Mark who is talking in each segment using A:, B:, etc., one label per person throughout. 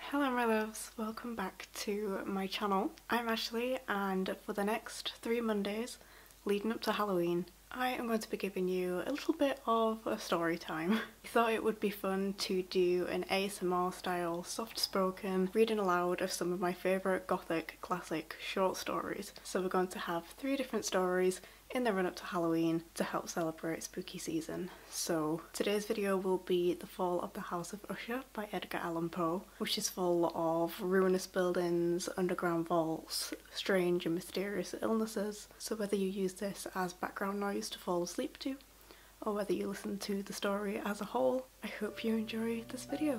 A: Hello my loves, welcome back to my channel. I'm Ashley and for the next three Mondays leading up to Halloween I am going to be giving you a little bit of a story time. I thought it would be fun to do an ASMR style soft spoken reading aloud of some of my favourite gothic classic short stories. So we're going to have three different stories in the run up to Halloween to help celebrate spooky season. So today's video will be The Fall of the House of Usher by Edgar Allan Poe, which is full of ruinous buildings, underground vaults, strange and mysterious illnesses. So whether you use this as background noise to fall asleep to, or whether you listen to the story as a whole, I hope you enjoy this video.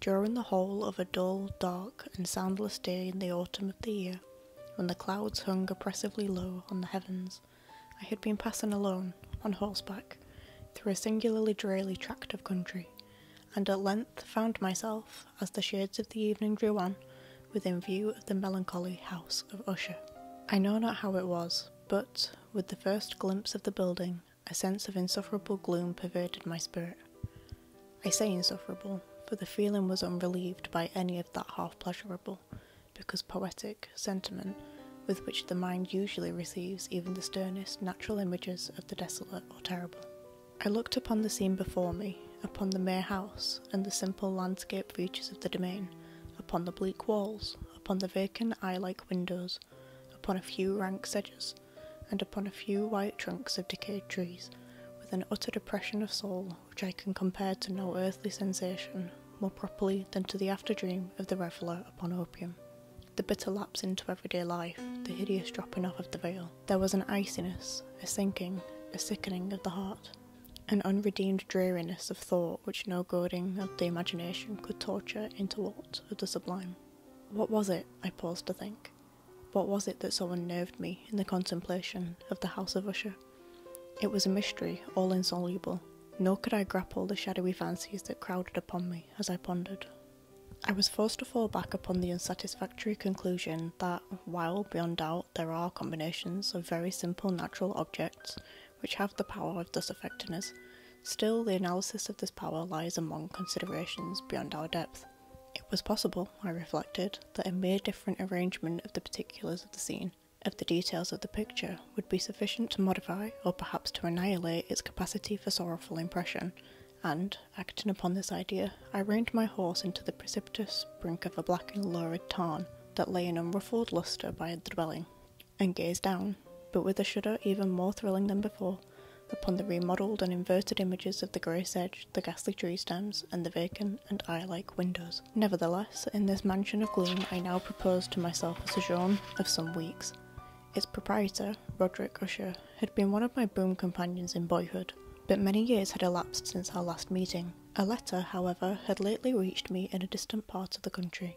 A: During the whole of a dull, dark, and soundless day in the autumn of the year, when the clouds hung oppressively low on the heavens, I had been passing alone, on horseback, through a singularly dreary tract of country, and at length found myself, as the shades of the evening drew on, within view of the melancholy house of Usher. I know not how it was, but, with the first glimpse of the building, a sense of insufferable gloom pervaded my spirit. I say insufferable, for the feeling was unrelieved by any of that half pleasurable, because poetic sentiment with which the mind usually receives even the sternest natural images of the desolate or terrible. I looked upon the scene before me, upon the mere house, and the simple landscape features of the domain, upon the bleak walls, upon the vacant eye-like windows, upon a few rank sedges, and upon a few white trunks of decayed trees, with an utter depression of soul which I can compare to no earthly sensation more properly than to the after dream of the reveller upon opium. The bitter lapse into everyday life, the hideous dropping off of the veil. There was an iciness, a sinking, a sickening of the heart, an unredeemed dreariness of thought which no goading of the imagination could torture into aught of the sublime. What was it, I paused to think, what was it that so unnerved me in the contemplation of the House of Usher? It was a mystery all insoluble, nor could I grapple the shadowy fancies that crowded upon me as I pondered. I was forced to fall back upon the unsatisfactory conclusion that, while beyond doubt there are combinations of very simple natural objects which have the power of thus affecting us, still the analysis of this power lies among considerations beyond our depth. It was possible, I reflected, that a mere different arrangement of the particulars of the scene of the details of the picture would be sufficient to modify or perhaps to annihilate its capacity for sorrowful impression, and, acting upon this idea, I reined my horse into the precipitous brink of a black and lurid tarn that lay in unruffled lustre by the dwelling, and gazed down, but with a shudder even more thrilling than before, upon the remodelled and inverted images of the grey sedge, the ghastly tree stems, and the vacant and eye like windows. Nevertheless, in this mansion of gloom, I now proposed to myself a sojourn of some weeks. Its proprietor, Roderick Usher, had been one of my boon companions in boyhood, but many years had elapsed since our last meeting. A letter, however, had lately reached me in a distant part of the country.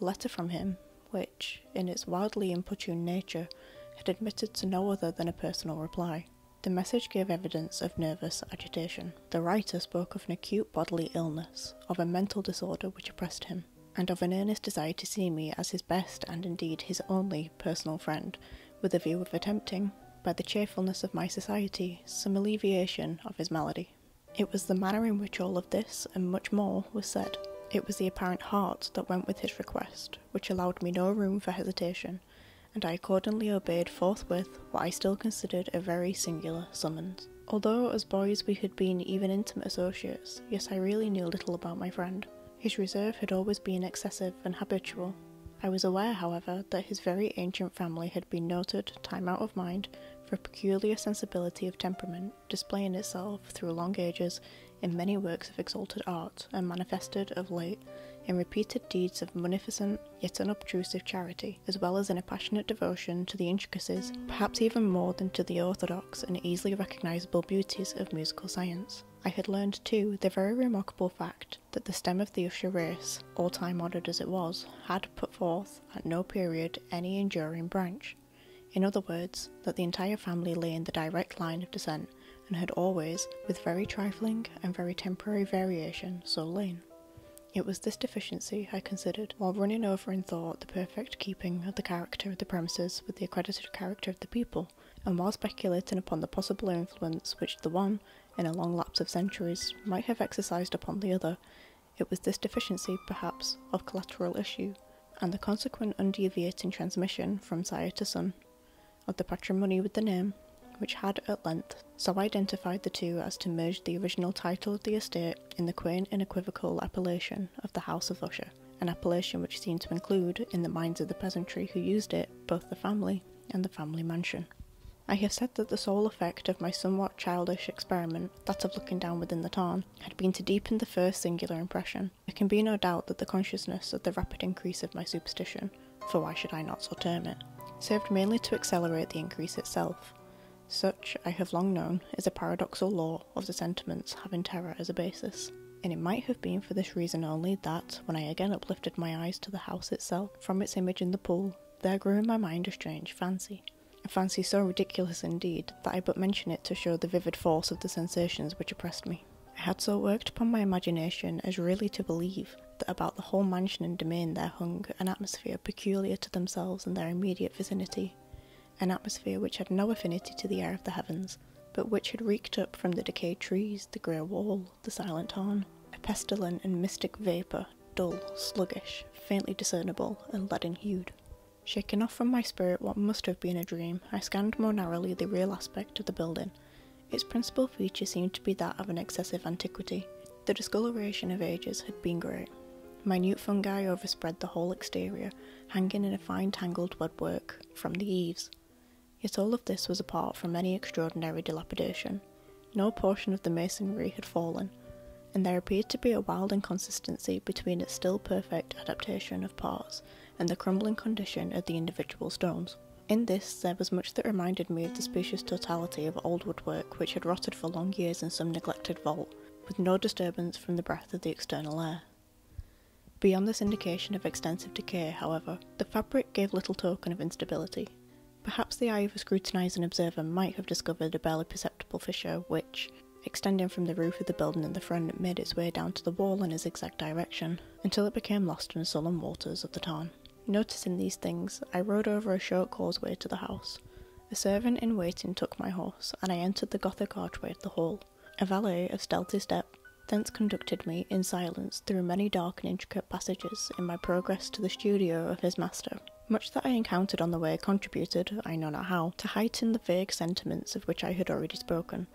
A: A letter from him, which, in its wildly importuned nature, had admitted to no other than a personal reply. The message gave evidence of nervous agitation. The writer spoke of an acute bodily illness, of a mental disorder which oppressed him, and of an earnest desire to see me as his best and indeed his only personal friend, with a view of attempting, by the cheerfulness of my society, some alleviation of his malady. It was the manner in which all of this, and much more, was said. It was the apparent heart that went with his request, which allowed me no room for hesitation, and I accordingly obeyed forthwith what I still considered a very singular summons. Although, as boys, we had been even intimate associates, yet I really knew little about my friend. His reserve had always been excessive and habitual. I was aware, however, that his very ancient family had been noted, time out of mind, for a peculiar sensibility of temperament, displaying itself through long ages in many works of exalted art, and manifested, of late, in repeated deeds of munificent yet unobtrusive charity as well as in a passionate devotion to the intricacies, perhaps even more than to the orthodox and easily recognisable beauties of musical science. I had learned too the very remarkable fact that the stem of the Usher race, all time honoured as it was, had put forth at no period any enduring branch. In other words, that the entire family lay in the direct line of descent and had always, with very trifling and very temporary variation, so lain. It was this deficiency I considered while running over in thought the perfect keeping of the character of the premises with the accredited character of the people, and while speculating upon the possible influence which the one, in a long lapse of centuries, might have exercised upon the other, it was this deficiency, perhaps, of collateral issue, and the consequent undeviating transmission from sire to son of the patrimony with the name, which had at length so identified the two as to merge the original title of the estate in the quaint and equivocal appellation of the House of Usher, an appellation which seemed to include, in the minds of the peasantry who used it, both the family and the family mansion. I have said that the sole effect of my somewhat childish experiment, that of looking down within the tarn, had been to deepen the first singular impression. It can be no doubt that the consciousness of the rapid increase of my superstition, for why should I not so term it, served mainly to accelerate the increase itself. Such, I have long known, is a paradoxal law of the sentiments having terror as a basis. And it might have been for this reason only that, when I again uplifted my eyes to the house itself, from its image in the pool, there grew in my mind a strange fancy. A fancy so ridiculous indeed that I but mention it to show the vivid force of the sensations which oppressed me. I had so worked upon my imagination as really to believe that about the whole mansion and domain there hung an atmosphere peculiar to themselves and their immediate vicinity, an atmosphere which had no affinity to the air of the heavens, but which had reeked up from the decayed trees, the grey wall, the silent tarn, a pestilent and mystic vapour, dull, sluggish, faintly discernible, and leaden hued. Shaking off from my spirit what must have been a dream, I scanned more narrowly the real aspect of the building. Its principal feature seemed to be that of an excessive antiquity, the discoloration of ages had been great. Minute fungi overspread the whole exterior, hanging in a fine tangled webwork from the eaves. Yet all of this was apart from any extraordinary dilapidation. No portion of the masonry had fallen, and there appeared to be a wild inconsistency between its still perfect adaptation of parts and the crumbling condition of the individual stones. In this, there was much that reminded me of the specious totality of old woodwork which had rotted for long years in some neglected vault, with no disturbance from the breath of the external air. Beyond this indication of extensive decay, however, the fabric gave little token of instability. Perhaps the eye of a scrutinising observer might have discovered a barely perceptible fissure which, extending from the roof of the building in the front, made its way down to the wall in a zigzag direction, until it became lost in the sullen waters of the tarn. Noticing these things, I rode over a short causeway to the house, a servant in waiting took my horse, and I entered the Gothic archway of the hall. A valet of stealthy step thence conducted me in silence through many dark and intricate passages in my progress to the studio of his master. Much that I encountered on the way contributed, I know not how, to heighten the vague sentiments of which I had already spoken.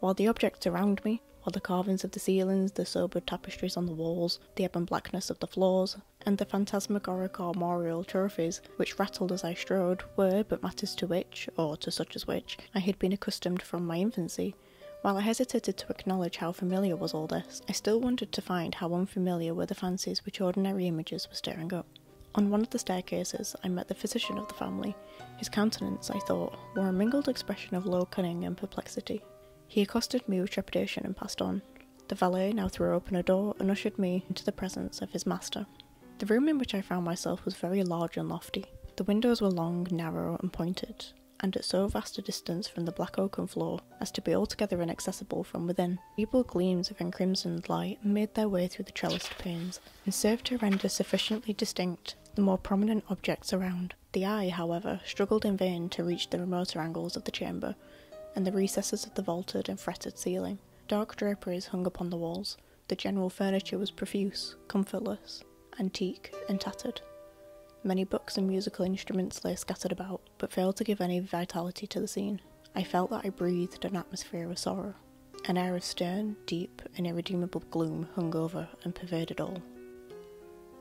A: While the objects around me, while the carvings of the ceilings, the sober tapestries on the walls, the ebon blackness of the floors, and the phantasmagoric armorial trophies, which rattled as I strode, were but matters to which, or to such as which, I had been accustomed from my infancy. While I hesitated to acknowledge how familiar was all this, I still wondered to find how unfamiliar were the fancies which ordinary images were stirring up. On one of the staircases, I met the physician of the family. His countenance, I thought, wore a mingled expression of low cunning and perplexity. He accosted me with trepidation and passed on, the valet now threw open a door and ushered me into the presence of his master. The room in which I found myself was very large and lofty. The windows were long, narrow, and pointed, and at so vast a distance from the black oaken floor as to be altogether inaccessible from within. Feeble gleams of encrimsoned light made their way through the trellised panes, and served to render sufficiently distinct the more prominent objects around. The eye, however, struggled in vain to reach the remoter angles of the chamber chamber, and the recesses of the vaulted and fretted ceiling. Dark draperies hung upon the walls. The general furniture was profuse, comfortless, antique, and tattered. Many books and musical instruments lay scattered about, but failed to give any vitality to the scene. I felt that I breathed an atmosphere of sorrow. An air of stern, deep, and irredeemable gloom hung over and pervaded all.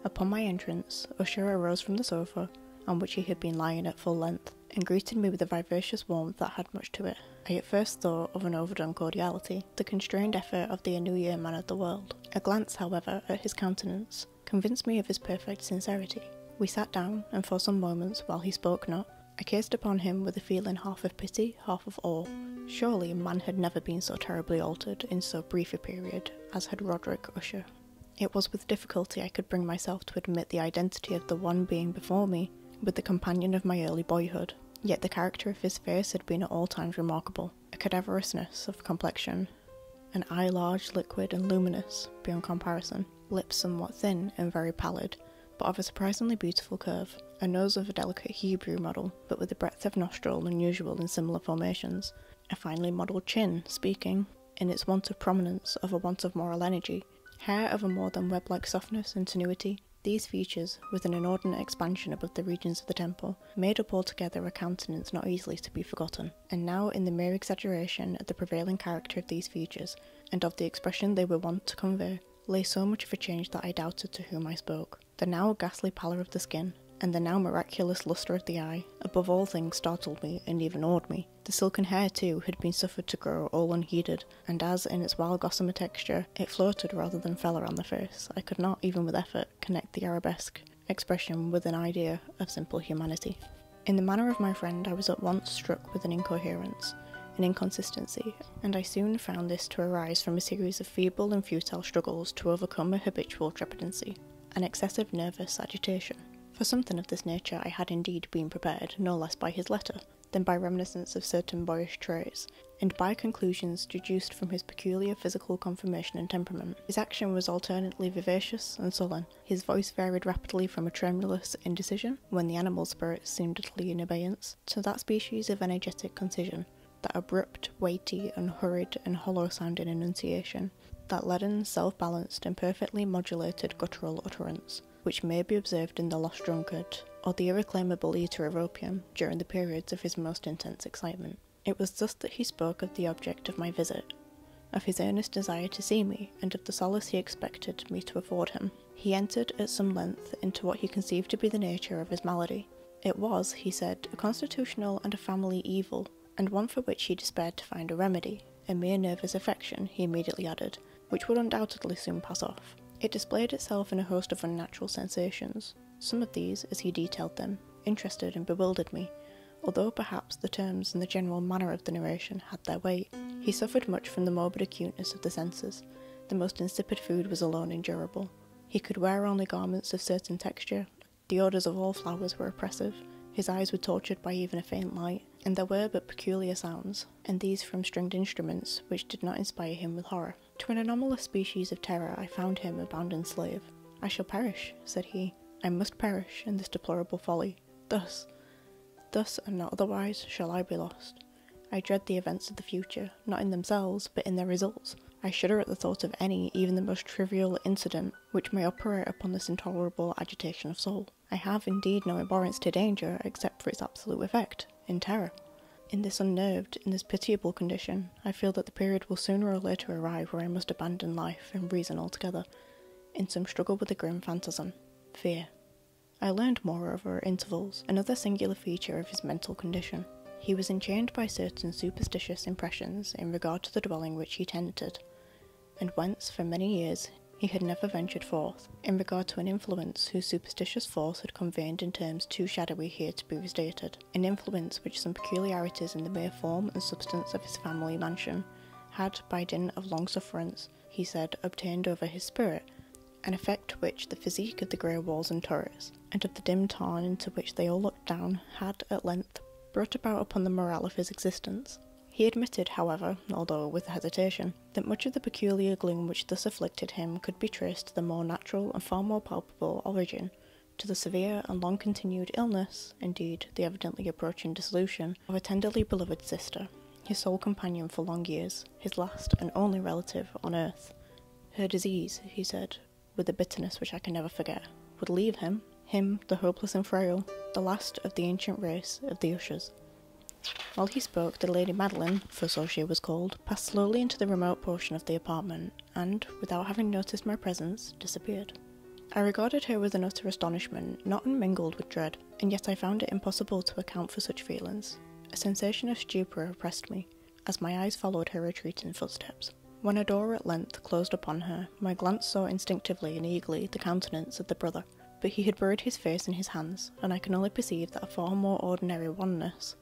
A: Upon my entrance, Usher arose from the sofa on which he had been lying at full length and greeted me with a vivacious warmth that had much to it. I at first thought of an overdone cordiality, the constrained effort of the New Year man of the world. A glance, however, at his countenance convinced me of his perfect sincerity. We sat down, and for some moments, while he spoke not, I gazed upon him with a feeling half of pity, half of awe. Surely man had never been so terribly altered in so brief a period as had Roderick Usher. It was with difficulty I could bring myself to admit the identity of the one being before me with the companion of my early boyhood, yet the character of his face had been at all times remarkable a cadaverousness of complexion, an eye large, liquid, and luminous beyond comparison, lips somewhat thin and very pallid, but of a surprisingly beautiful curve, a nose of a delicate Hebrew model, but with a breadth of nostril unusual in similar formations, a finely modelled chin, speaking, in its want of prominence of a want of moral energy, hair of a more than web like softness and tenuity, these features, with an inordinate expansion above the regions of the temple, made up altogether a countenance not easily to be forgotten. And now, in the mere exaggeration of the prevailing character of these features, and of the expression they were wont to convey, lay so much of a change that I doubted to whom I spoke. The now ghastly pallor of the skin, and the now miraculous lustre of the eye, above all things startled me and even awed me. The silken hair, too, had been suffered to grow all unheeded, and as, in its wild gossamer texture, it floated rather than fell around the face, I could not, even with effort, connect the arabesque expression with an idea of simple humanity. In the manner of my friend, I was at once struck with an incoherence, an inconsistency, and I soon found this to arise from a series of feeble and futile struggles to overcome a habitual trepidancy, an excessive nervous agitation. For something of this nature I had indeed been prepared, no less by his letter, than by reminiscence of certain boyish traits, and by conclusions deduced from his peculiar physical conformation and temperament. His action was alternately vivacious and sullen. His voice varied rapidly from a tremulous indecision, when the animal spirits seemed utterly in abeyance, to that species of energetic concision, that abrupt, weighty, and hurried and hollow sounding enunciation that leaden, self balanced, and perfectly modulated guttural utterance, which may be observed in the lost drunkard, or the irreclaimable eater of opium, during the periods of his most intense excitement. It was thus that he spoke of the object of my visit, of his earnest desire to see me, and of the solace he expected me to afford him. He entered at some length into what he conceived to be the nature of his malady. It was, he said, a constitutional and a family evil, and one for which he despaired to find a remedy, a mere nervous affection, he immediately added, which would undoubtedly soon pass off. It displayed itself in a host of unnatural sensations. Some of these, as he detailed them, interested and bewildered me, although perhaps the terms and the general manner of the narration had their weight. He suffered much from the morbid acuteness of the senses. The most insipid food was alone endurable. He could wear only garments of certain texture. The odours of all flowers were oppressive. His eyes were tortured by even a faint light, and there were but peculiar sounds, and these from stringed instruments, which did not inspire him with horror. To an anomalous species of terror I found him a bounden slave. I shall perish, said he. I must perish in this deplorable folly. Thus, thus and not otherwise, shall I be lost. I dread the events of the future, not in themselves, but in their results. I shudder at the thought of any, even the most trivial incident, which may operate upon this intolerable agitation of soul. I have indeed no abhorrence to danger except for its absolute effect, in terror. In this unnerved, in this pitiable condition, I feel that the period will sooner or later arrive where I must abandon life and reason altogether, in some struggle with the grim phantasm, fear. I learned, moreover, at intervals, another singular feature of his mental condition. He was enchained by certain superstitious impressions in regard to the dwelling which he tenanted and whence, for many years, he had never ventured forth, in regard to an influence whose superstitious force had conveyed in terms too shadowy here to be restated, an influence which some peculiarities in the mere form and substance of his family mansion had, by dint of long sufferance, he said, obtained over his spirit, an effect which the physique of the grey walls and turrets, and of the dim tarn into which they all looked down, had at length brought about upon the morale of his existence. He admitted, however, although with hesitation, that much of the peculiar gloom which thus afflicted him could be traced to the more natural and far more palpable origin, to the severe and long continued illness, indeed, the evidently approaching dissolution, of a tenderly beloved sister, his sole companion for long years, his last and only relative on earth. Her disease, he said, with a bitterness which I can never forget, would leave him, him, the hopeless and frail, the last of the ancient race of the Ushers. While he spoke, the Lady Madeline, for so she was called, passed slowly into the remote portion of the apartment, and, without having noticed my presence, disappeared. I regarded her with an utter astonishment, not unmingled with dread, and yet I found it impossible to account for such feelings. A sensation of stupor oppressed me, as my eyes followed her retreating footsteps. When a door at length closed upon her, my glance saw instinctively and eagerly the countenance of the brother, but he had buried his face in his hands, and I can only perceive that a far more ordinary wanness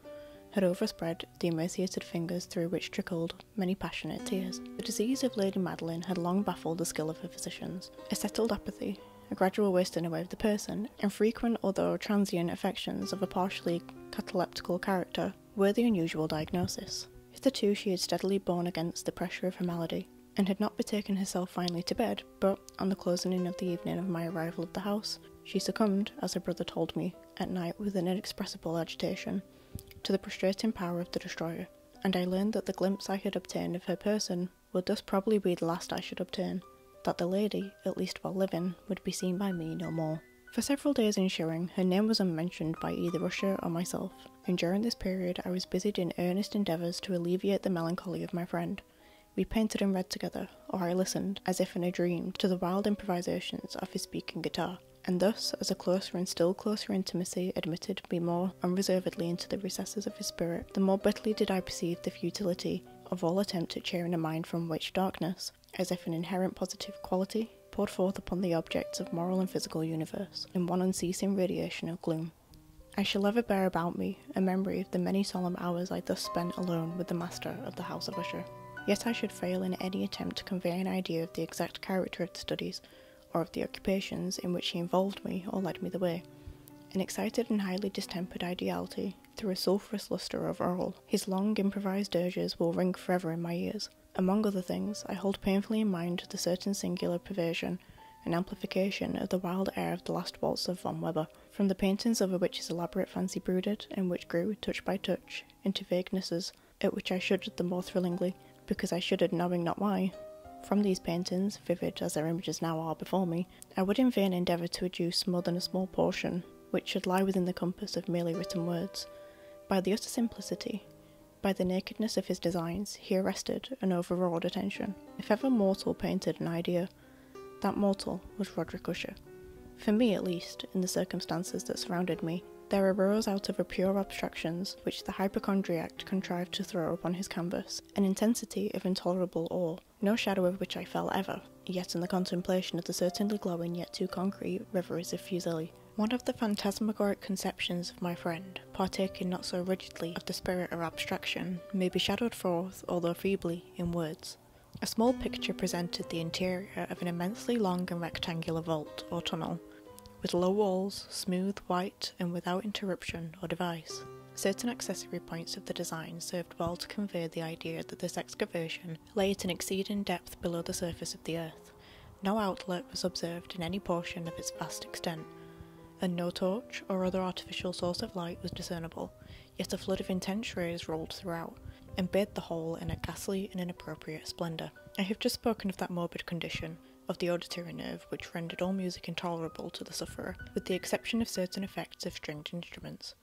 A: had overspread the emaciated fingers through which trickled many passionate tears. The disease of Lady Madeline had long baffled the skill of her physicians. A settled apathy, a gradual wasting away of the person, and frequent although transient affections of a partially cataleptical character were the unusual diagnosis. Hitherto she had steadily borne against the pressure of her malady, and had not betaken herself finally to bed, but on the closing in of the evening of my arrival at the house, she succumbed, as her brother told me, at night with an inexpressible agitation, to the prostrating power of the destroyer, and I learned that the glimpse I had obtained of her person would thus probably be the last I should obtain, that the lady, at least while living, would be seen by me no more. For several days ensuing, her name was unmentioned by either Russia or myself, and during this period I was busied in earnest endeavours to alleviate the melancholy of my friend. We painted and read together, or I listened, as if in a dream, to the wild improvisations of his speaking guitar, and thus, as a closer and still closer intimacy admitted me more unreservedly into the recesses of his spirit, the more bitterly did I perceive the futility of all attempt at cheering a mind from which darkness, as if an inherent positive quality, poured forth upon the other objects of moral and physical universe in one unceasing radiation of gloom. I shall ever bear about me a memory of the many solemn hours I thus spent alone with the master of the House of Usher. Yet I should fail in any attempt to convey an idea of the exact character of the studies, or of the occupations in which he involved me or led me the way. An excited and highly distempered ideality threw a sulphurous lustre over all. His long improvised dirges will ring forever in my ears, among other things, I hold painfully in mind the certain singular perversion and amplification of the wild air of the last waltz of Von Weber, from the paintings over which his elaborate fancy brooded, and which grew, touch by touch, into vaguenesses, at which I shuddered the more thrillingly, because I shuddered knowing not why. From these paintings, vivid as their images now are before me, I would in vain endeavour to adduce more than a small portion, which should lie within the compass of merely written words. By the utter simplicity, by the nakedness of his designs, he arrested and overawed attention. If ever mortal painted an idea, that mortal was Roderick Usher. For me, at least, in the circumstances that surrounded me, there arose out of the pure abstractions which the hypochondriac contrived to throw upon his canvas, an intensity of intolerable awe, no shadow of which I fell ever, yet in the contemplation of the certainly glowing yet too concrete reveries of Fuseli, one of the phantasmagoric conceptions of my friend, partaking not so rigidly of the spirit of abstraction, may be shadowed forth, although feebly, in words. A small picture presented the interior of an immensely long and rectangular vault or tunnel, with low walls, smooth, white, and without interruption or device. Certain accessory points of the design served well to convey the idea that this excavation lay at an exceeding depth below the surface of the earth. No outlet was observed in any portion of its vast extent, and no torch or other artificial source of light was discernible, yet a flood of intense rays rolled throughout and bathed the whole in a ghastly and inappropriate splendour. I have just spoken of that morbid condition of the auditory nerve which rendered all music intolerable to the sufferer, with the exception of certain effects of stringed instruments.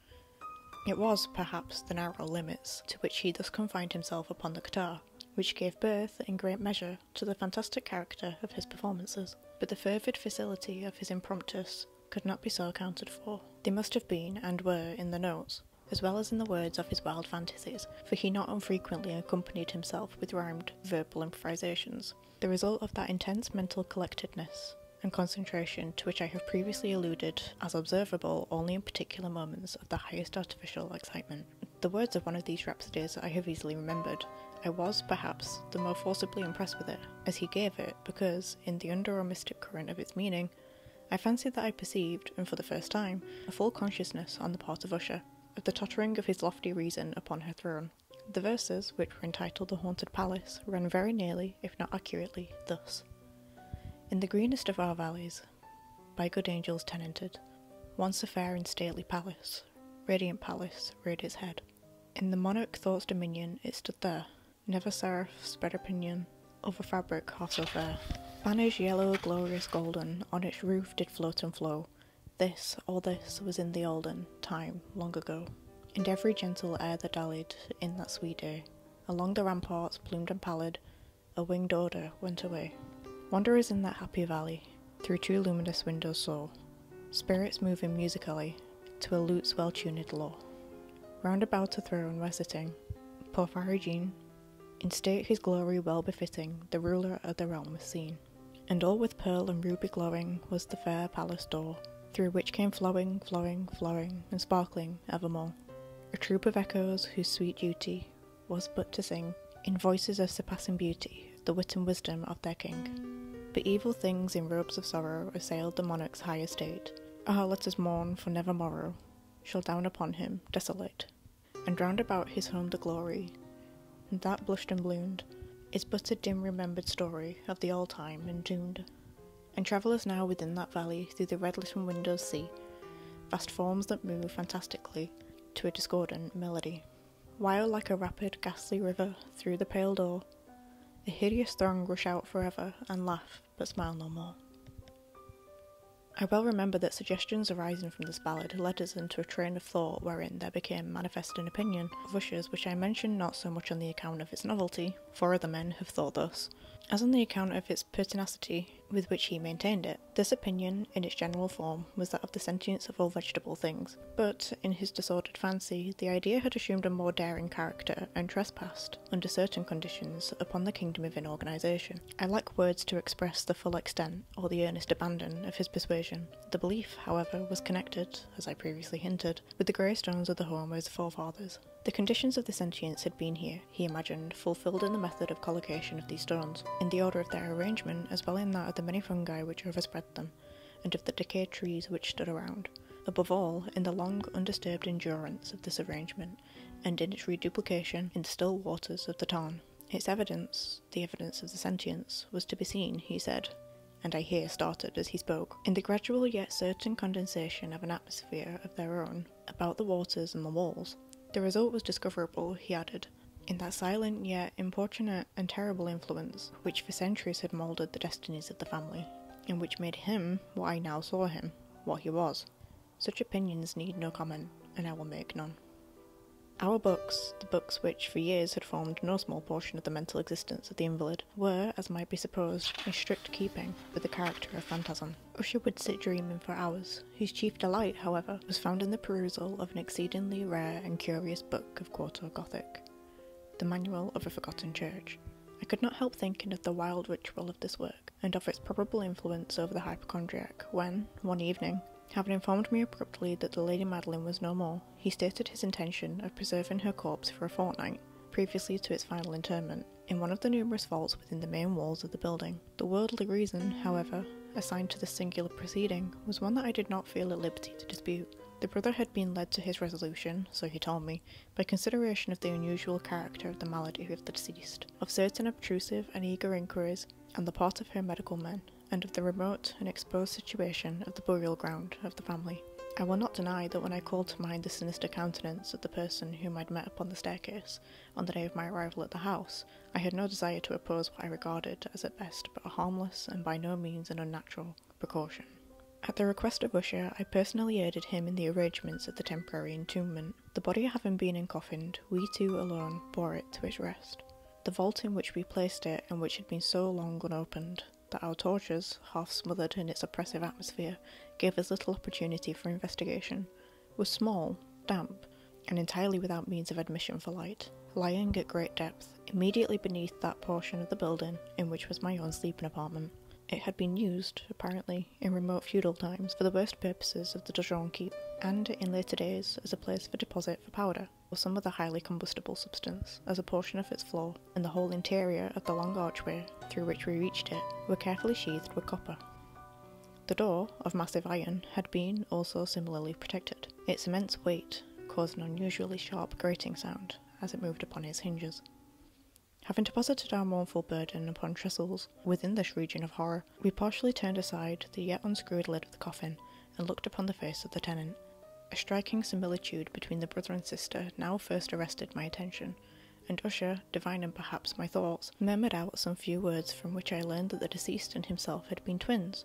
A: It was, perhaps, the narrow limits to which he thus confined himself upon the guitar, which gave birth, in great measure, to the fantastic character of his performances, but the fervid facility of his impromptus could not be so accounted for. They must have been, and were, in the notes, as well as in the words of his wild fantasies, for he not unfrequently accompanied himself with rhymed verbal improvisations, the result of that intense mental collectedness and concentration to which I have previously alluded as observable only in particular moments of the highest artificial excitement. The words of one of these rhapsodies I have easily remembered. I was, perhaps, the more forcibly impressed with it, as he gave it, because, in the under or mystic current of its meaning, I fancied that I perceived, and for the first time, a full consciousness on the part of Usher, of the tottering of his lofty reason upon her throne. The verses, which were entitled The Haunted Palace, run very nearly, if not accurately, thus. In the greenest of our valleys, by good angels tenanted, once a fair and stately palace, radiant palace, reared its head. In the monarch thought's dominion it stood there, never seraph spread a pinion over fabric half so fair. Banners yellow, glorious, golden, on its roof did float and flow. This, all this, was in the olden time, long ago. And every gentle air that dallied in that sweet day, along the ramparts, bloomed and pallid, a winged order went away. Wanderers in that happy valley, through two luminous windows saw, spirits moving musically to a lute's well-tuned law. Round about a throne were sitting, Porphyrogene, in state his glory well befitting, the ruler of the realm was seen. And all with pearl and ruby glowing was the fair palace door, through which came flowing, flowing, flowing, and sparkling evermore. A troop of echoes whose sweet duty was but to sing, in voices of surpassing beauty, the wit and wisdom of their king. But evil things in robes of sorrow assailed the monarch's high estate. Ah, let us mourn, for never morrow shall down upon him, desolate. And round about his home the glory, and that blushed and bloomed, is but a dim remembered story of the old time and doomed. And travellers now within that valley through the red litten windows see vast forms that move fantastically to a discordant melody. While like a rapid, ghastly river through the pale door, the hideous throng rush out forever and laugh, but smile no more. I well remember that suggestions arising from this ballad led us into a train of thought wherein there became manifest an opinion of Usher's which I mention not so much on the account of its novelty, for other men have thought thus, as on the account of its pertinacity with which he maintained it. This opinion, in its general form, was that of the sentience of all vegetable things, but, in his disordered fancy, the idea had assumed a more daring character and trespassed, under certain conditions, upon the kingdom of inorganisation. I lack words to express the full extent, or the earnest abandon, of his persuasion. The belief, however, was connected, as I previously hinted, with the grey stones of the Homer's forefathers. The conditions of the sentience had been here, he imagined, full Filled in the method of collocation of these stones, in the order of their arrangement as well in that of the many fungi which overspread them, and of the decayed trees which stood around, above all in the long undisturbed endurance of this arrangement, and in its reduplication in the still waters of the tarn. Its evidence, the evidence of the sentience, was to be seen, he said, and I here started as he spoke, in the gradual yet certain condensation of an atmosphere of their own about the waters and the walls. The result was discoverable, he added, in that silent yet importunate and terrible influence which for centuries had moulded the destinies of the family, and which made him what I now saw him, what he was. Such opinions need no comment, and I will make none. Our books, the books which for years had formed no small portion of the mental existence of the invalid, were, as might be supposed, in strict keeping with the character of Phantasm. Usher would sit dreaming for hours, Whose chief delight, however, was found in the perusal of an exceedingly rare and curious book of quarto Gothic, The Manual of a Forgotten Church. I could not help thinking of the wild ritual of this work, and of its probable influence over the hypochondriac, when, one evening, having informed me abruptly that the Lady Madeline was no more, he stated his intention of preserving her corpse for a fortnight, previously to its final interment, in one of the numerous vaults within the main walls of the building. The worldly reason, however, assigned to this singular proceeding was one that I did not feel at liberty to dispute. The brother had been led to his resolution, so he told me, by consideration of the unusual character of the malady of the deceased, of certain obtrusive and eager inquiries on the part of her medical men, and of the remote and exposed situation of the burial ground of the family. I will not deny that when I called to mind the sinister countenance of the person whom i had met upon the staircase, on the day of my arrival at the house, I had no desire to oppose what I regarded as at best but a harmless and by no means an unnatural precaution. At the request of Usher, I personally aided him in the arrangements of the temporary entombment. The body having been encoffined, we two alone bore it to its rest. The vault in which we placed it, and which had been so long unopened, that our torches, half smothered in its oppressive atmosphere, gave us little opportunity for investigation was small, damp, and entirely without means of admission for light, lying at great depth, immediately beneath that portion of the building in which was my own sleeping apartment. It had been used, apparently, in remote feudal times for the worst purposes of the Dojon keep, and in later days as a place for deposit for powder or some other highly combustible substance, as a portion of its floor and the whole interior of the long archway through which we reached it were carefully sheathed with copper. The door, of massive iron, had been also similarly protected, its immense weight caused an unusually sharp grating sound as it moved upon its hinges. Having deposited our mournful burden upon trestles within this region of horror, we partially turned aside the yet unscrewed lid of the coffin and looked upon the face of the tenant. A striking similitude between the brother and sister now first arrested my attention, and Usher, divining perhaps my thoughts, murmured out some few words from which I learned that the deceased and himself had been twins,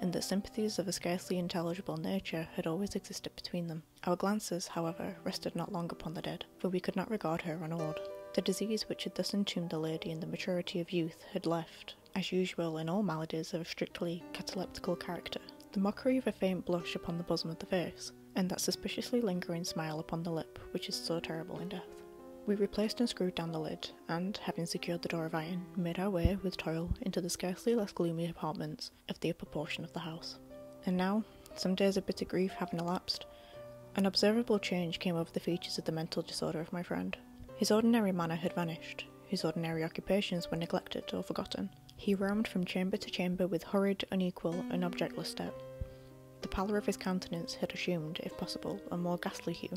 A: and that sympathies of a scarcely intelligible nature had always existed between them. Our glances, however, rested not long upon the dead, for we could not regard her unawed. The disease which had thus entombed the lady in the maturity of youth had left, as usual in all maladies of a strictly cataleptical character, the mockery of a faint blush upon the bosom of the face, and that suspiciously lingering smile upon the lip which is so terrible in death. We replaced and screwed down the lid, and, having secured the door of iron, made our way, with toil, into the scarcely less gloomy apartments of the upper portion of the house. And now, some days of bitter grief having elapsed, an observable change came over the features of the mental disorder of my friend. His ordinary manner had vanished, his ordinary occupations were neglected or forgotten. He roamed from chamber to chamber with hurried, unequal, and objectless step. The pallor of his countenance had assumed, if possible, a more ghastly hue,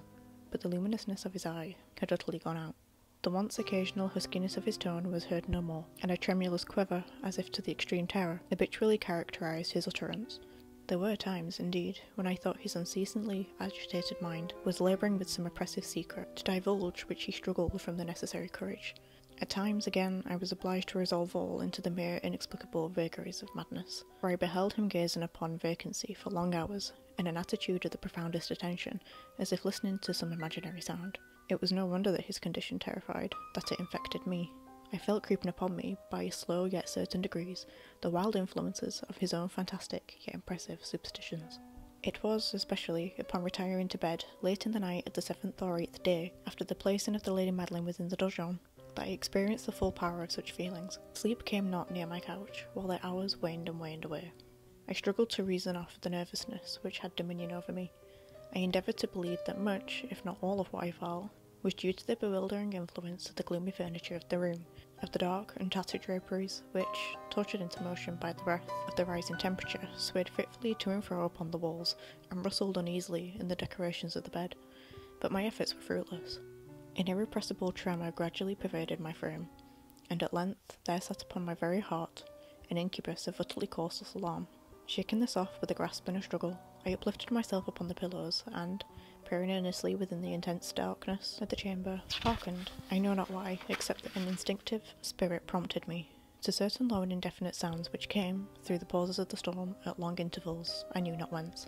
A: but the luminousness of his eye had utterly gone out. The once occasional huskiness of his tone was heard no more, and a tremulous quiver, as if to the extreme terror, habitually characterized his utterance. There were times, indeed, when I thought his unceasingly agitated mind was labouring with some oppressive secret, to divulge which he struggled from the necessary courage. At times, again, I was obliged to resolve all into the mere inexplicable vagaries of madness where I beheld him gazing upon vacancy for long hours, in an attitude of the profoundest attention, as if listening to some imaginary sound. It was no wonder that his condition terrified, that it infected me. I felt creeping upon me, by slow yet certain degrees, the wild influences of his own fantastic yet impressive superstitions. It was, especially, upon retiring to bed late in the night of the seventh or eighth day, after the placing of the Lady Madeline within the donjon, that I experienced the full power of such feelings. Sleep came not near my couch, while the hours waned and waned away. I struggled to reason off the nervousness which had dominion over me. I endeavoured to believe that much, if not all of what I felt, was due to the bewildering influence of the gloomy furniture of the room, of the dark and tattered draperies, which, tortured into motion by the breath of the rising temperature, swayed fitfully to and fro upon the walls, and rustled uneasily in the decorations of the bed. But my efforts were fruitless. An irrepressible tremor gradually pervaded my frame, and at length there sat upon my very heart an incubus of utterly causeless alarm. Shaking this off with a grasp and a struggle, I uplifted myself upon the pillows, and, peering earnestly within the intense darkness of the chamber, hearkened, I know not why, except that an instinctive spirit prompted me, to certain low and indefinite sounds which came, through the pauses of the storm, at long intervals, I knew not whence.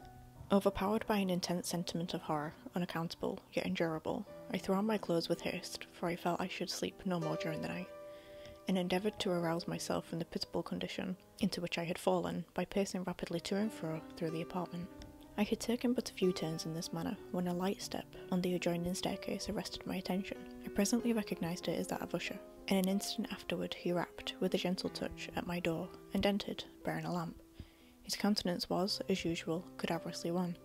A: Overpowered by an intense sentiment of horror, unaccountable, yet endurable, I threw on my clothes with haste, for I felt I should sleep no more during the night, and endeavoured to arouse myself from the pitiable condition into which I had fallen by pacing rapidly to and fro through the apartment. I had taken but a few turns in this manner when a light step on the adjoining staircase arrested my attention. I presently recognised it as that of Usher, and an instant afterward he rapped, with a gentle touch, at my door, and entered, bearing a lamp. His countenance was, as usual, cadaverously wan.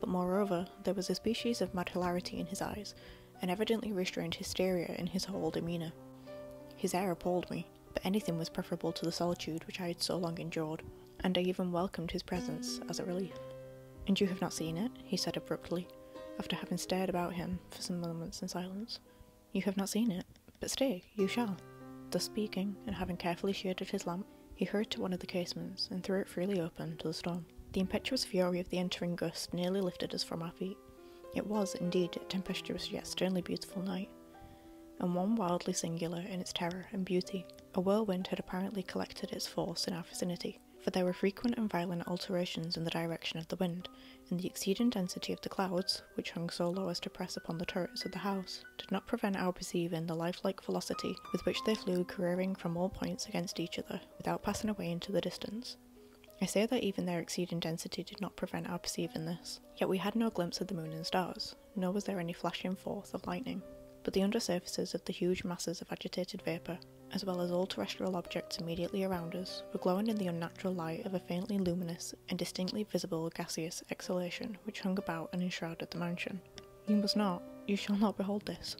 A: But moreover, there was a species of mad hilarity in his eyes, and evidently restrained hysteria in his whole demeanour. His air appalled me, but anything was preferable to the solitude which I had so long endured, and I even welcomed his presence as a relief. And you have not seen it, he said abruptly, after having stared about him for some moments in silence. You have not seen it? But stay, you shall. Thus speaking, and having carefully shaded his lamp, he hurried to one of the casements and threw it freely open to the storm. The impetuous fury of the entering gust nearly lifted us from our feet. It was, indeed, a tempestuous yet sternly beautiful night, and one wildly singular in its terror and beauty. A whirlwind had apparently collected its force in our vicinity, for there were frequent and violent alterations in the direction of the wind, and the exceeding density of the clouds, which hung so low as to press upon the turrets of the house, did not prevent our perceiving the lifelike velocity with which they flew careering from all points against each other, without passing away into the distance. I say that even their exceeding density did not prevent our perceiving this, yet we had no glimpse of the moon and stars, nor was there any flashing forth of lightning. But the undersurfaces of the huge masses of agitated vapour, as well as all terrestrial objects immediately around us, were glowing in the unnatural light of a faintly luminous and distinctly visible gaseous exhalation which hung about and enshrouded the mansion. You must not, you shall not behold this,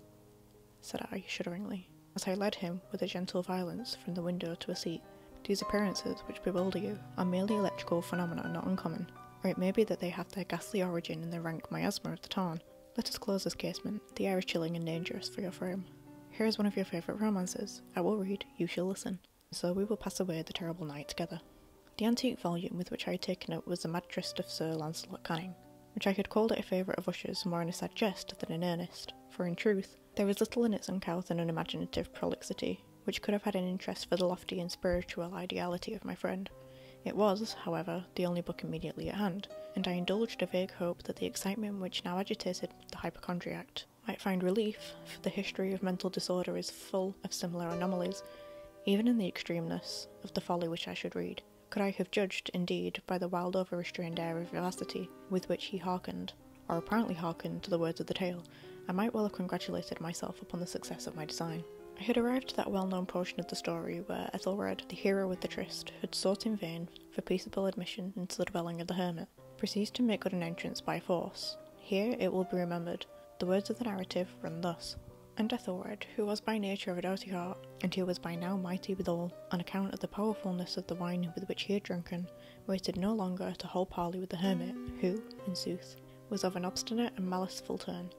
A: said I shudderingly, as I led him with a gentle violence from the window to a seat. These appearances, which bewilder you, are merely electrical phenomena not uncommon, or it may be that they have their ghastly origin in the rank miasma of the tarn. Let us close this casement, the air is chilling and dangerous for your frame. Here is one of your favourite romances. I will read, you shall listen so we will pass away the terrible night together. The antique volume with which I had taken it was the Mad Tryst of Sir Lancelot Canning, which I had called it a favourite of Usher's more in a sad jest than in earnest, for in truth, there was little in its uncouth and unimaginative prolixity, which could have had an interest for the lofty and spiritual ideality of my friend. It was, however, the only book immediately at hand, and I indulged a vague hope that the excitement which now agitated the hypochondriac might find relief, for the history of mental disorder is full of similar anomalies, even in the extremeness of the folly which I should read. Could I have judged, indeed, by the wild overstrained air of vivacity with which he hearkened, or apparently hearkened, to the words of the tale, I might well have congratulated myself upon the success of my design. I had arrived at that well known portion of the story where Ethelred, the hero with the tryst, had sought in vain for peaceable admission into the dwelling of the hermit. Indiana, proceeds to make good an entrance by force. Here it will be remembered. The words of the narrative run thus. And Ethelred, who was by nature of a doughty heart, and who was by now mighty withal, on account of the powerfulness of the wine with which he had drunken, waited no longer to hold parley with the hermit, who, in sooth, was of an obstinate and maliceful turn,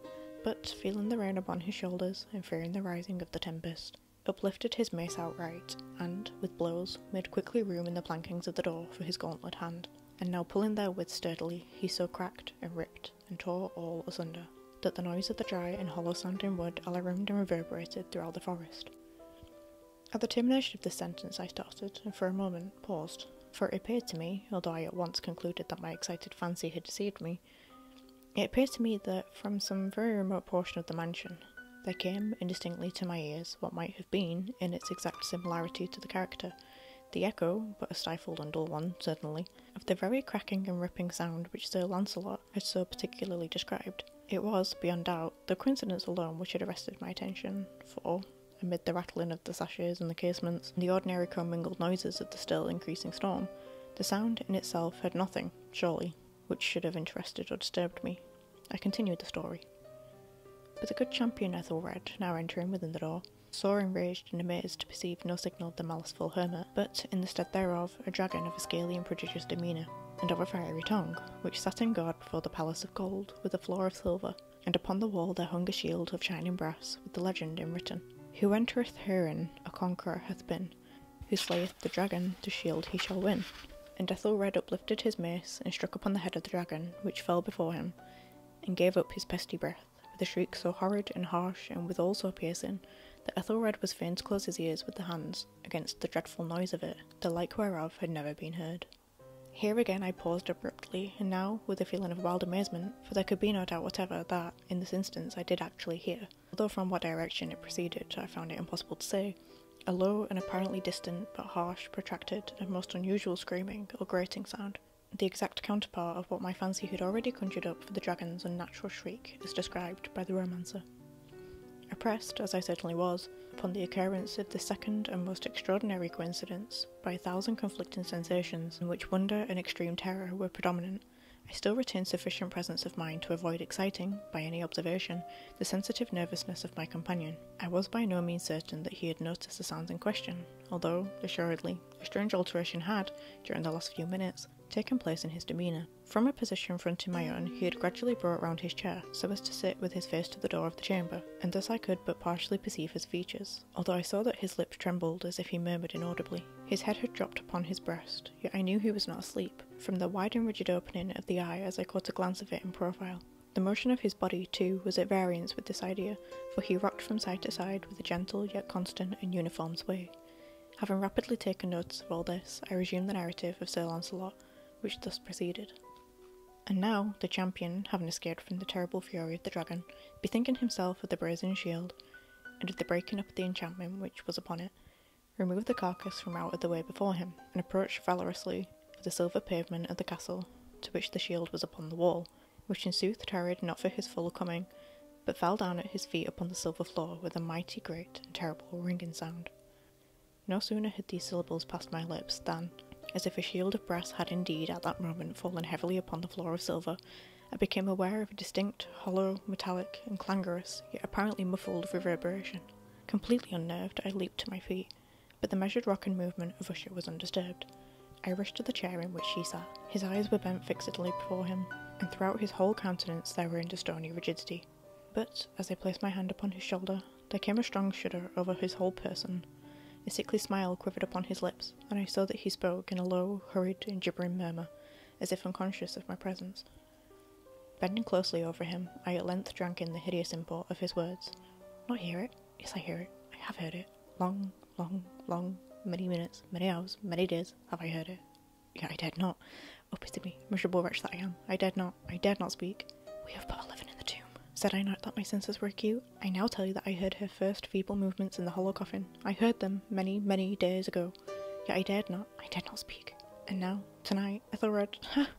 A: but, feeling the rain upon his shoulders, and fearing the rising of the tempest, uplifted his mace outright, and, with blows, made quickly room in the plankings of the door for his gauntlet hand, and now pulling therewith sturdily, he so cracked, and ripped, and tore all asunder, that the noise of the dry and hollow sounding wood alarmed and reverberated throughout the forest. At the termination of this sentence I started, and for a moment paused, for it appeared to me, although I at once concluded that my excited fancy had deceived me, it appeared to me that from some very remote portion of the mansion there came, indistinctly to my ears, what might have been, in its exact similarity to the character, the echo, but a stifled and dull one, certainly, of the very cracking and ripping sound which Sir Launcelot had so particularly described. It was, beyond doubt, the coincidence alone which had arrested my attention, for, amid the rattling of the sashes and the casements, and the ordinary commingled noises of the still increasing storm, the sound in itself had nothing, surely, which should have interested or disturbed me. I continued the story. But the good champion Ethelred, now entering within the door, saw enraged and amazed to perceive no signal of the maliceful hermit, but, in the stead thereof, a dragon of a scaly and prodigious demeanour, and of a fiery tongue, which sat in guard before the palace of gold, with a floor of silver, and upon the wall there hung a shield of shining brass, with the legend enwritten, Who entereth herein, a conqueror hath been, who slayeth the dragon, the shield he shall win. And Ethelred uplifted his mace and struck upon the head of the dragon, which fell before him, and gave up his pesty breath, with a shriek so horrid and harsh and withal so piercing, that Ethelred was fain to close his ears with the hands against the dreadful noise of it, the like whereof had never been heard. Here again I paused abruptly, and now with a feeling of wild amazement, for there could be no doubt whatever that, in this instance, I did actually hear, although from what direction it proceeded I found it impossible to say, a low and apparently distant but harsh, protracted, and most unusual screaming or grating sound, the exact counterpart of what my fancy had already conjured up for the dragon's unnatural shriek is described by the romancer. Oppressed, as I certainly was, upon the occurrence of this second and most extraordinary coincidence by a thousand conflicting sensations in which wonder and extreme terror were predominant, I still retained sufficient presence of mind to avoid exciting, by any observation, the sensitive nervousness of my companion. I was by no means certain that he had noticed the sounds in question, although, assuredly, a strange alteration had, during the last few minutes, taken place in his demeanour. From a position fronting my own, he had gradually brought round his chair, so as to sit with his face to the door of the chamber, and thus I could but partially perceive his features, although I saw that his lips trembled as if he murmured inaudibly. His head had dropped upon his breast, yet I knew he was not asleep, from the wide and rigid opening of the eye as I caught a glance of it in profile. The motion of his body, too, was at variance with this idea, for he rocked from side to side with a gentle yet constant and uniform sway. Having rapidly taken notice of all this, I resumed the narrative of Sir Launcelot, which thus proceeded. And now, the champion, having escaped from the terrible fury of the dragon, bethinking himself of the brazen shield, and of the breaking up of the enchantment which was upon it, removed the carcass from out of the way before him, and approached valorously of the silver pavement of the castle, to which the shield was upon the wall, which in sooth tarried not for his full coming, but fell down at his feet upon the silver floor with a mighty great and terrible ringing sound. No sooner had these syllables passed my lips than, as if a shield of brass had indeed at that moment fallen heavily upon the floor of silver, I became aware of a distinct, hollow, metallic, and clangorous, yet apparently muffled reverberation. Completely unnerved, I leaped to my feet, but the measured rock and movement of Usher was undisturbed. I rushed to the chair in which she sat. His eyes were bent fixedly before him, and throughout his whole countenance there reigned a stony rigidity. But, as I placed my hand upon his shoulder, there came a strong shudder over his whole person. A sickly smile quivered upon his lips, and I saw that he spoke in a low, hurried, and gibbering murmur, as if unconscious of my presence. Bending closely over him, I at length drank in the hideous import of his words. Not hear it. Yes, I hear it. I have heard it. Long, long, long, many minutes, many hours, many days have I heard it. Yet I dared not. Oh, pity me, miserable wretch that I am. I dared not. I dared not speak. We have but eleven in the tomb. Said I not that my senses were acute? I now tell you that I heard her first feeble movements in the hollow coffin. I heard them many, many days ago. Yet I dared not. I dared not speak. And now, tonight, Ethelred.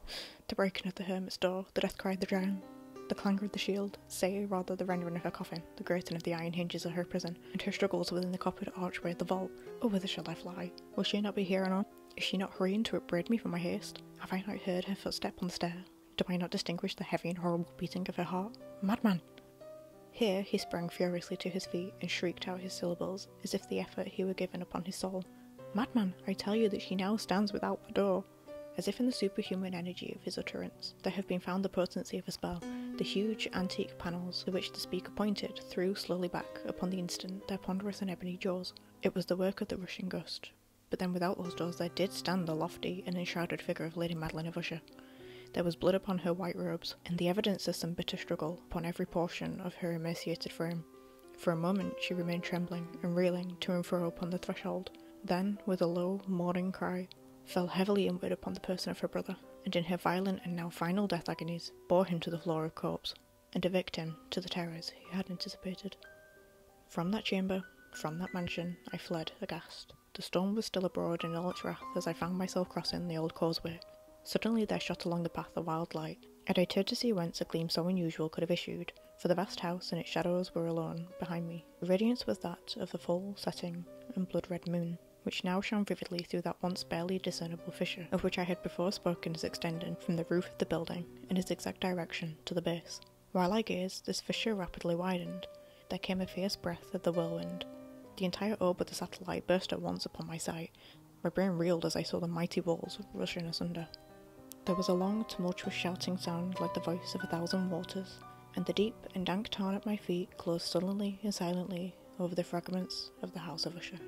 A: The breaking of the hermit's door, the death cry of the drowned, the clangour of the shield, say rather the rending of her coffin, the grating of the iron hinges of her prison, and her struggles within the coppered archway of the vault. Oh, whither shall I fly? Will she not be here anon? Is she not hurrying to upbraid me for my haste? Have I not heard her footstep on the stair? Do I not distinguish the heavy and horrible beating of her heart? Madman! Here he sprang furiously to his feet and shrieked out his syllables, as if the effort he were giving upon his soul. Madman, I tell you that she now stands without the door. As if in the superhuman energy of his utterance, there had been found the potency of a spell. The huge, antique panels to which the speaker pointed threw slowly back, upon the instant, their ponderous and ebony jaws. It was the work of the rushing gust. But then without those doors there did stand the lofty and enshrouded figure of Lady Madeline of Usher. There was blood upon her white robes, and the evidence of some bitter struggle upon every portion of her emaciated frame. For a moment she remained trembling and reeling to and fro upon the threshold, then, with a low, mourning cry, fell heavily inward upon the person of her brother, and in her violent and now final death agonies bore him to the floor of corpse, and a victim to the terrors he had anticipated. From that chamber, from that mansion, I fled, aghast. The storm was still abroad in all its wrath as I found myself crossing the old causeway. Suddenly there shot along the path a wild light, I turned to see whence a gleam so unusual could have issued, for the vast house and its shadows were alone behind me. The radiance was that of the full setting and blood red moon, which now shone vividly through that once barely discernible fissure, of which I had before spoken as extending from the roof of the building in its exact direction to the base. While I gazed, this fissure rapidly widened. There came a fierce breath of the whirlwind. The entire orb of the satellite burst at once upon my sight. My brain reeled as I saw the mighty walls rushing asunder. There was a long, tumultuous shouting sound like the voice of a thousand waters, and the deep and dank tarn at my feet closed sullenly and silently over the fragments of the House of Usher.